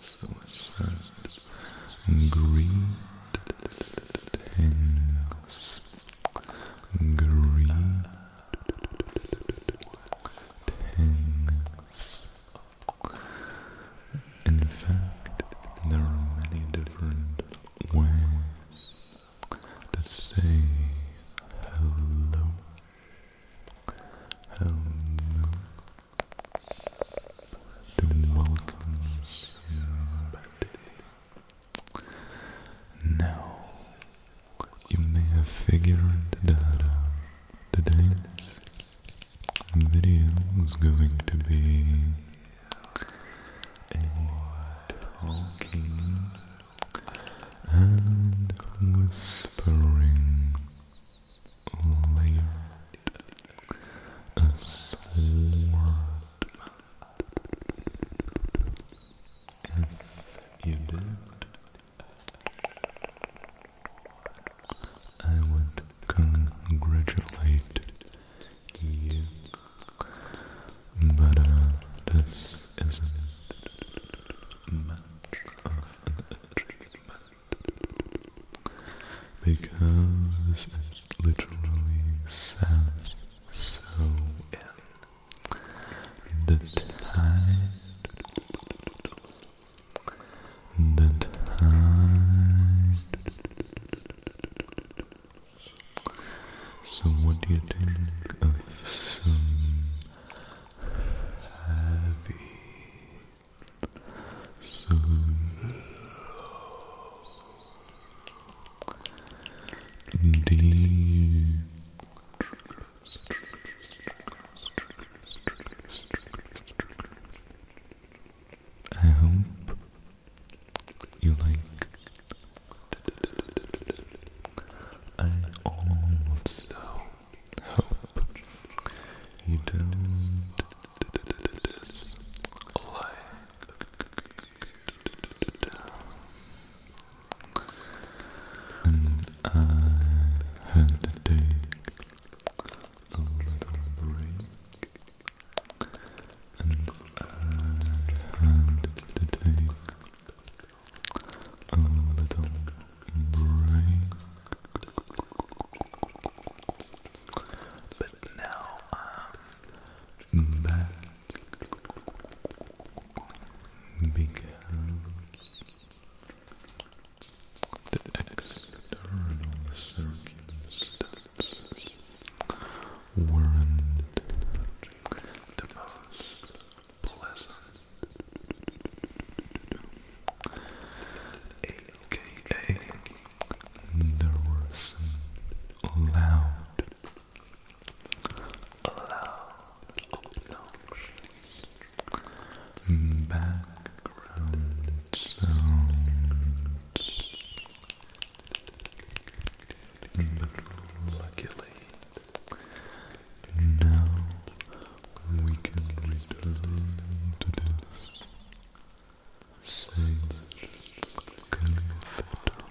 suicide, greed, tangles, greed, tangles. In fact, there are many different ways to say hello. Hello to welcome you Now, you may have figured that uh, today's video is going to be a talking and whispering layered a sword. If you did, I would congratulate you. But uh, this isn't because it's literally sad, so in the tide, the tide. So what do you think of some heavy so deep I hope you like. I also hope you don't dislike. And I had to take a little break, and I had to take a little Break. But now I'm um, back because the external circumstances weren't the most pleasant, aka nervous and loud, loud, obnoxious background sounds, but now we can return to this same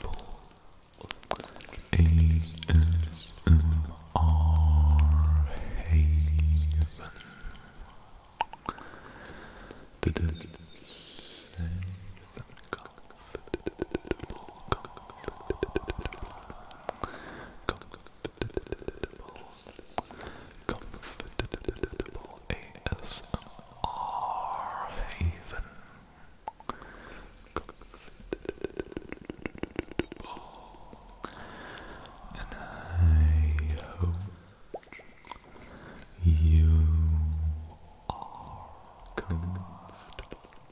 comfortable ASMR haven. Comfortable, comfortable ASMR haven. And I hope you are comfortable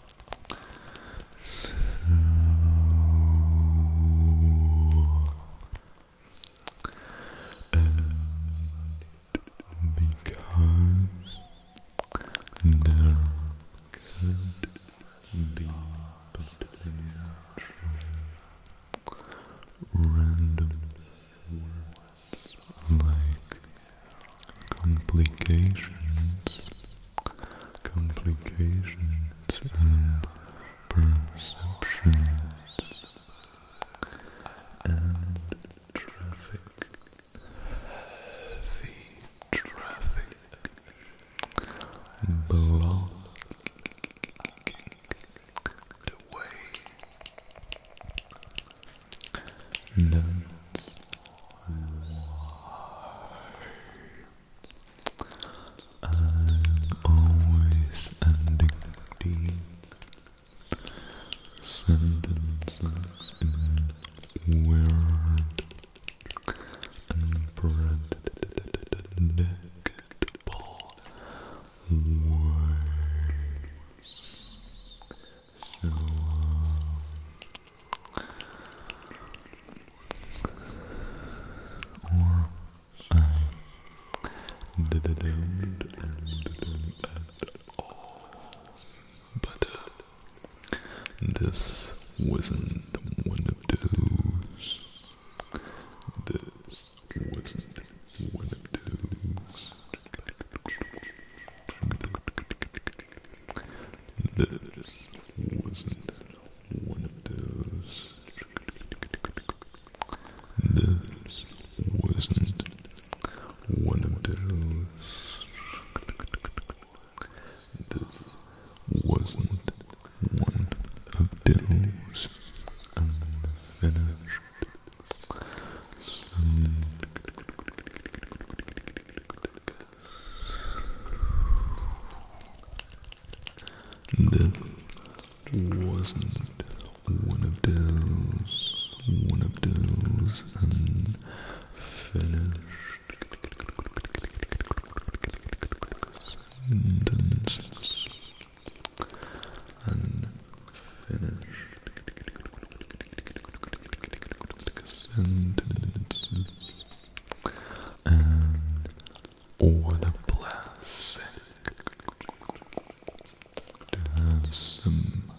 and because there could be potential random like complications complications and perceptions and traffic, heavy traffic, blocking the way. That's why I'm always ending sentences in weird and predictable ways. Or at all. But this wasn't one of those. This wasn't one of those. This wasn't one of those. This wasn't one of those. This wasn't one of those unfinished sentences. That wasn't one of those, one of those unfinished sentences. Unfinished and what a blessing to have some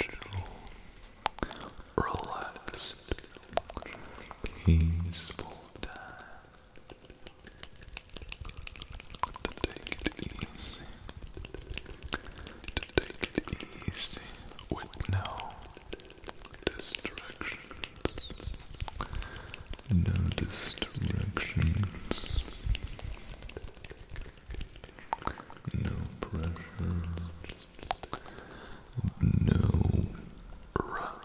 chill, relaxed, peaceful time to take it easy take with no distractions. No distractions. No pressure. No rush.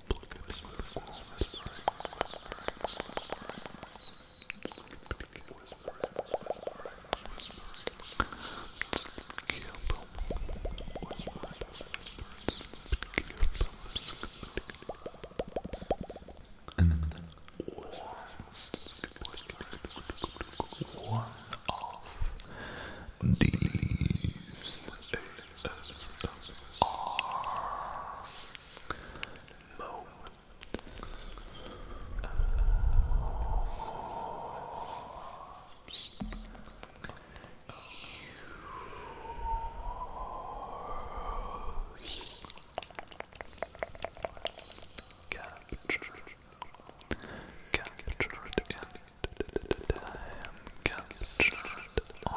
And then one of these are Mo. Uh, Captured, captured in time, captured on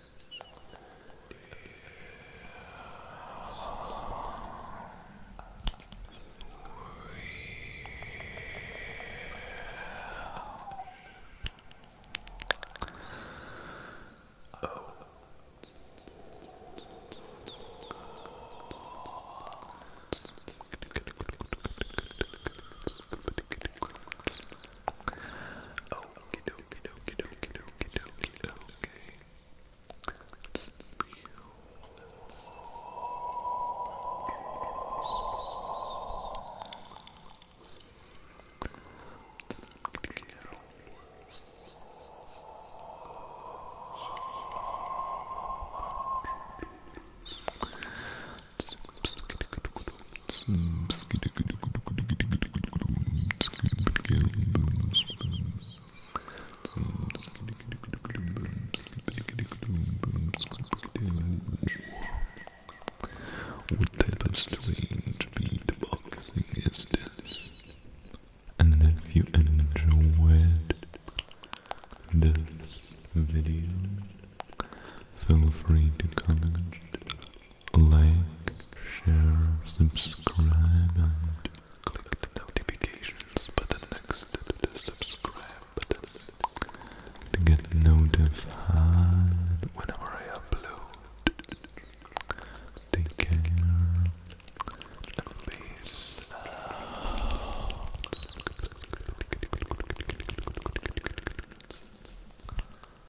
Oh, okay, oh. Okie dokie dokie dokie dokie dokie. Let's what type of strange beatboxing is this? And if you enjoyed this video, feel free to comment like, share, subscribe, and click the notifications button next to the subscribe button to get notified whenever I upload. Take care and peace out.